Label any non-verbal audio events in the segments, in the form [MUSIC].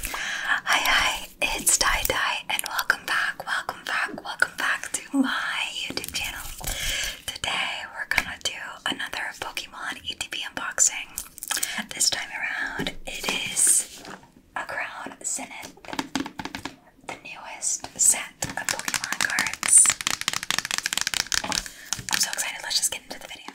Hi, hi, it's Tie Dye, and welcome back, welcome back, welcome back to my YouTube channel. Today, we're gonna do another Pokemon ETB unboxing. This time around, it is a Crown Zenith, the newest set of Pokemon cards. I'm so excited, let's just get into the video.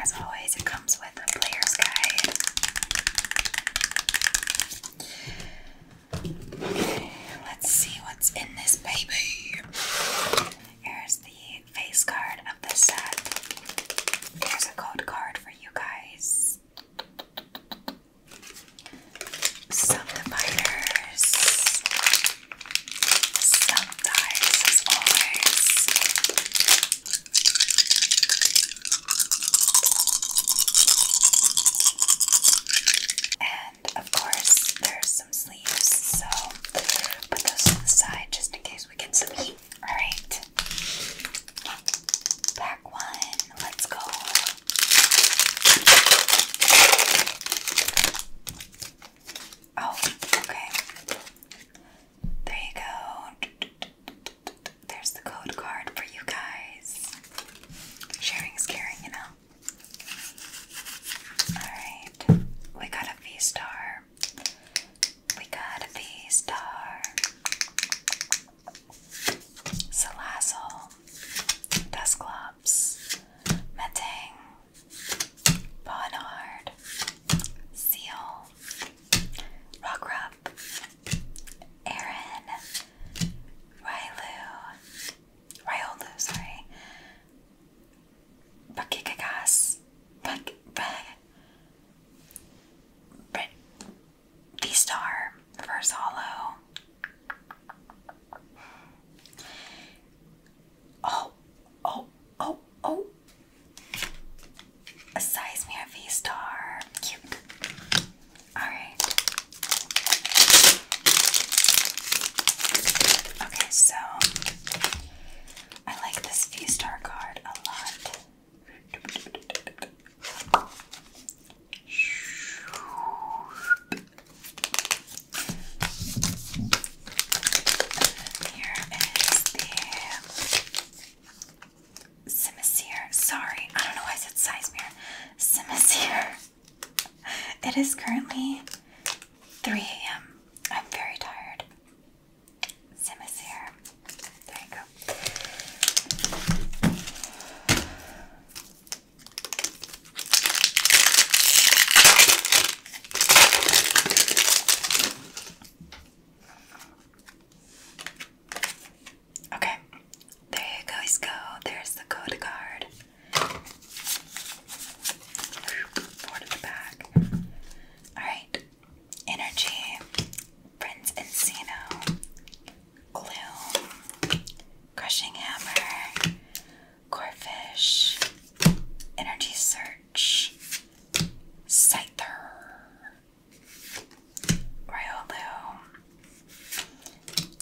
As always, it comes with a player's guide. let's see what's in this baby. Here's the face card of the set. Here's a code card for you guys. Some dividers, some dies And of course, there's some so put those to the side just in case we get some heat. Alright. Back one. Let's go. Oh, okay. There you go. There's the code card for you guys. Sharing is caring, you know? Alright. We got a V star. We got a V-Star, Salazzle, Dusclops, Metang, Bonard, Seal, Rockrup, Aaron, Rylu, Ryolu, sorry, pakikigas, pak, pak, B-Star, first Hollow. Oh, oh, oh, oh. A Seismere V-Star. Cute. Alright. Okay, so I like this V-Star card a lot. Here is the Simisear. Sorry, I don't know why I said Sizemere. Simisear. [LAUGHS] It is currently 3 a.m. I'm very tired. Sim There you go. Okay, there you guys go. There's the code card. Four to the back. Alright. Energy. Prince Encino. Glue. Crushing Hammer. Corefish. Energy Search. Scyther. Ryolu.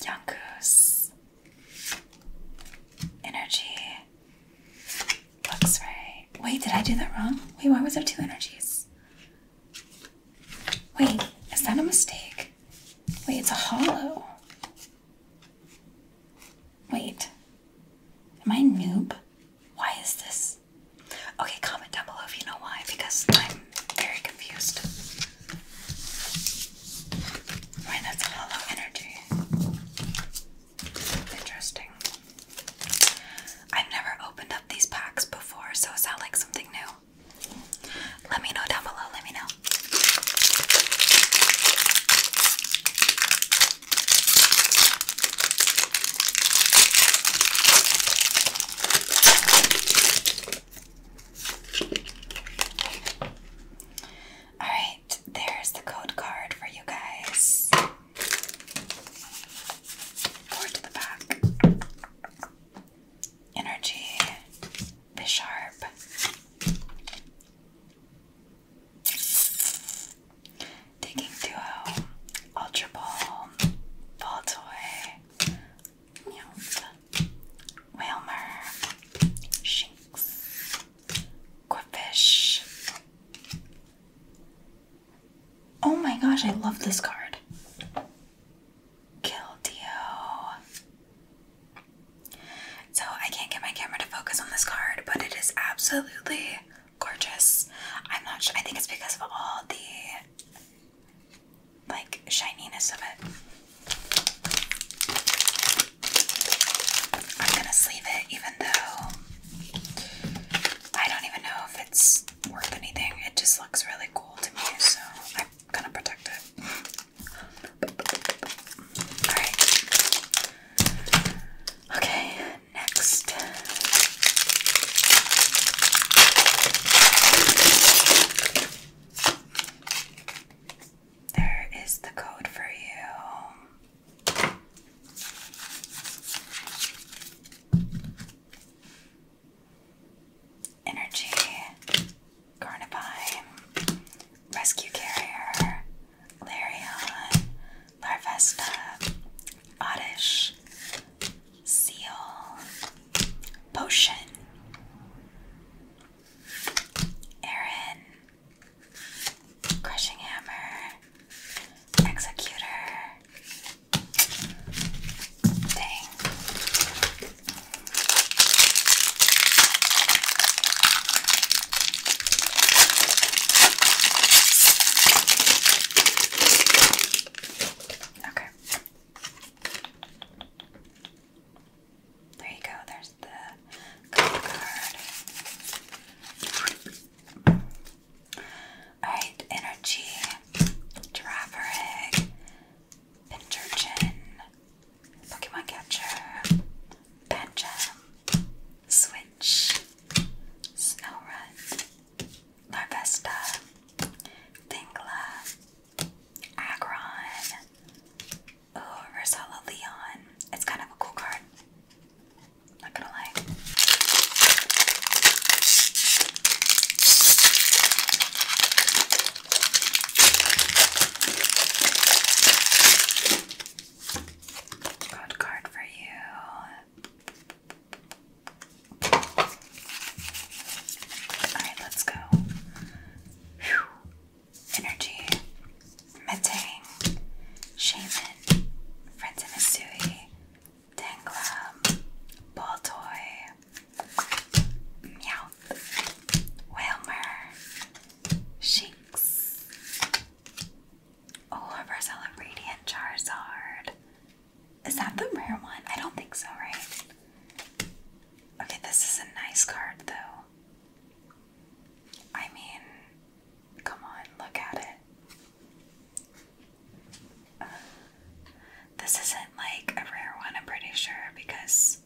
Young Energy. Wait, did I do that wrong? Wait, why was there two energies? Wait, is that a mistake? Wait, it's a hollow. Wait. Am I noob? Why is this? Okay, comment down below if you know why, because I'm very confused. Wait, that's hollow energy. Interesting. I've never opened up these packs before, so is that like something new? Let me know down below, let me know. Alright, there's the code card for you guys. Forward to the back. Energy. Bisharp. Digging Duo. Ultra Ball. Ball Toy. Whalmer. Shinx. Corfish. Oh my gosh, I love this card. Killdio. So I can't get my camera to focus on this card, but it is absolutely gorgeous. I'm not sure. I think it's because of all the like shininess of it. I'm gonna sleeve it even though I don't even know if it's worth anything. It just looks really cool to me, so I'm gonna protect it. Alright. Okay, next. There is the code for you. Energy, Carnivine, Rescue Carrier, Larion, Larvesta, Oddish, Seal, Potion, Aaron, Crushing Hammer, Executor, Dang. Okay. There you go, there's the card. Alright, energy, giraffe egg, Pokemon Catcher, Pancham, Switch, Snowrun, Larvesta, Thingla, Agron, Oh, Ursula Leon. It's kind of a cool card. Not gonna lie. Got card for you. Alright, let's go. Energy, Metang, Shaman, Friends and Misui, Tanglam, Ball Toy, Meowth, Whalmer, Sheiks, Oh, Rosella Radiant Charizard. Is that the rare one? I don't think so, right? Okay, this is a nice card though. I mean, come on, look at it. Uh, this isn't like a rare one, I'm pretty sure, because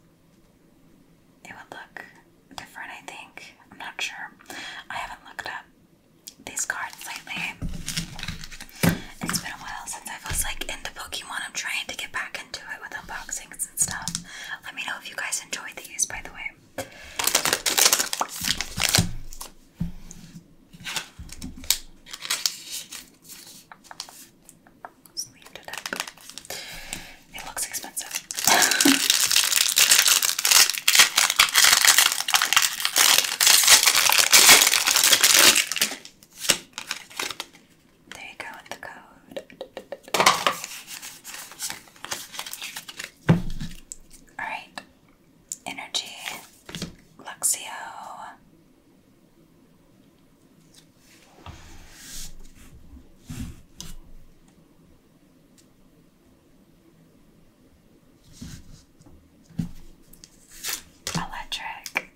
it would look different, I think. I'm not sure. I haven't looked up these cards lately. It's been a while since I was like into Pokemon. I'm trying to get back in back it with unboxings and stuff. Let me know if you guys enjoyed these, by the way. It looks expensive. [LAUGHS] There you go with the code. Alright. Energy. Luxio. Electric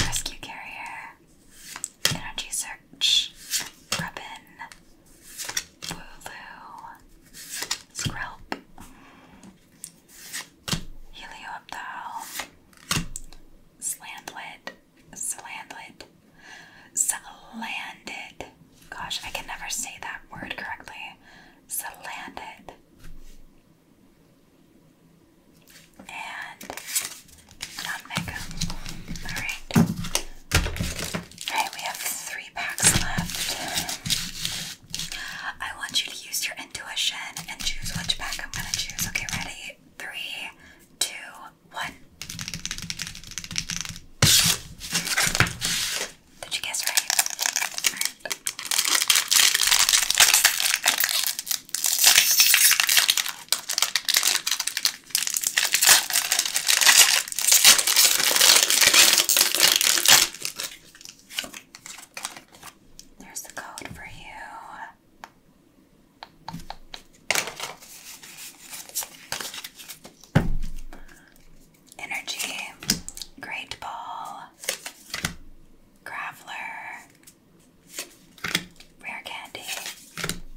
Rescue Carrier Energy Search, Grubbin, Wooloo, Skrelp, Heliooptile, Slandlid, Slandlid, Slanded. Gosh, I can never say that word correctly. Slanded and non mega. Alright. Alright, we have three packs left. I want you to use your intuition and choose which pack I'm gonna choose. Okay, ready? Three, two, one. Did you guess right. There's the code for you. Energy, Great Ball, Graveler, Rare Candy,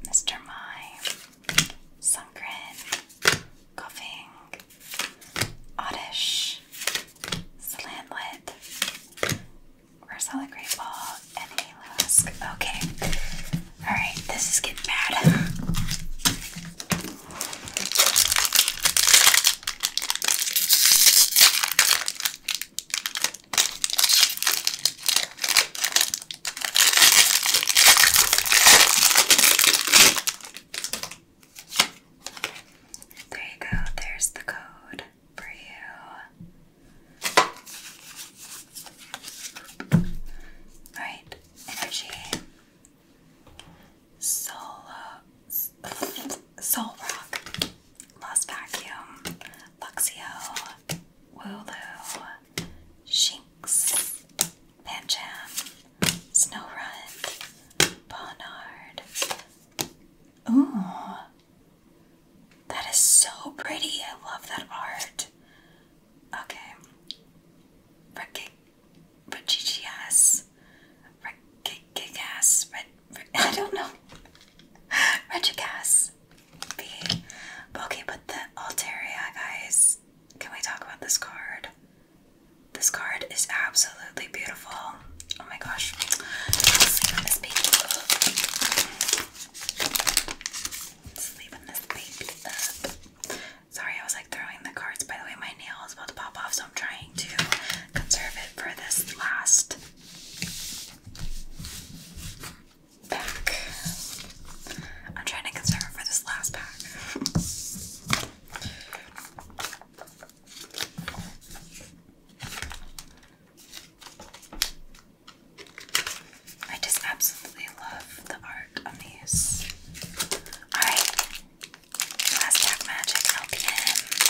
Mr. Mime, Sunkrin, Coughing, Oddish, Slanlit, Rosella Great Ball, and Alusk. Okay. Alright, this is getting bad. There you go, there's the code for you. Right, energy. Soul, uh, [LAUGHS] soul rock. Lost Vacuum, Luxio, Wooloo, Shinx, Pancham, Snowrun, Bonard. Ooh, that is so pretty. I love that art. Okay. Rick Richichias. Rick [LAUGHS] I don't know. Regigas. Okay, but the Altaria, guys. Can we talk about this card? This card is absolutely beautiful. Oh my gosh. Sorry, I was like throwing the cards. By the way, my nail is about to pop off, so I'm trying to conserve it for this last pack. I'm trying to conserve for this last pack. I just absolutely love the arc on these. Alright, last pack magic, LPM.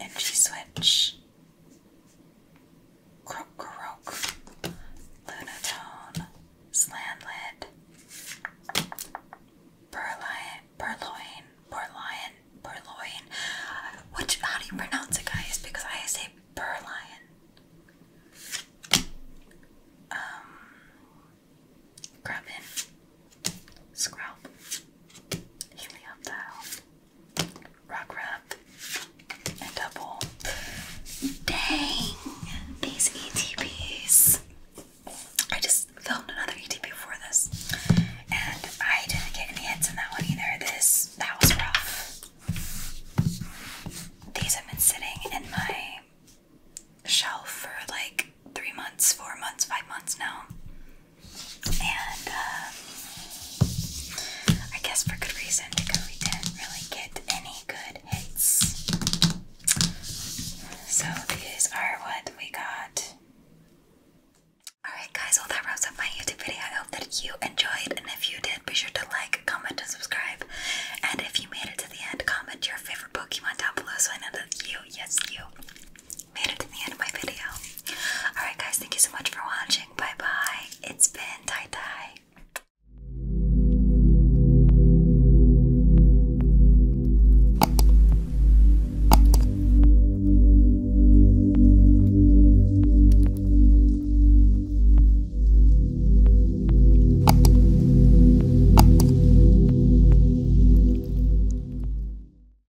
Energy Switch, Krokorok, Lunatone, Slanlid, Purloin, Purloin, Purloin, Purloin. Which, how do you pronounce it, guys? Because I say Purloin. Um, Grubbin, Scrub, Helioptile. Rock Wrap, and Double. Dang! These ETPs. I just filmed another ETP before this, and I didn't get any hits in that one either. This, that was rough. These have been sitting in my shelf for like three months, four months, five months now and uh, I guess for good reason because we didn't really get any good hits. So these are what we got. Alright guys, well that wraps up my YouTube video. I hope that you enjoyed and if you did, be sure to like, comment, and subscribe. And if you made it to the end, comment your favorite Pokemon down below so I know that you, yes you, made it to the end of my video. Alright guys, thank you so much for watching. Bye bye. It's been Tie Tie.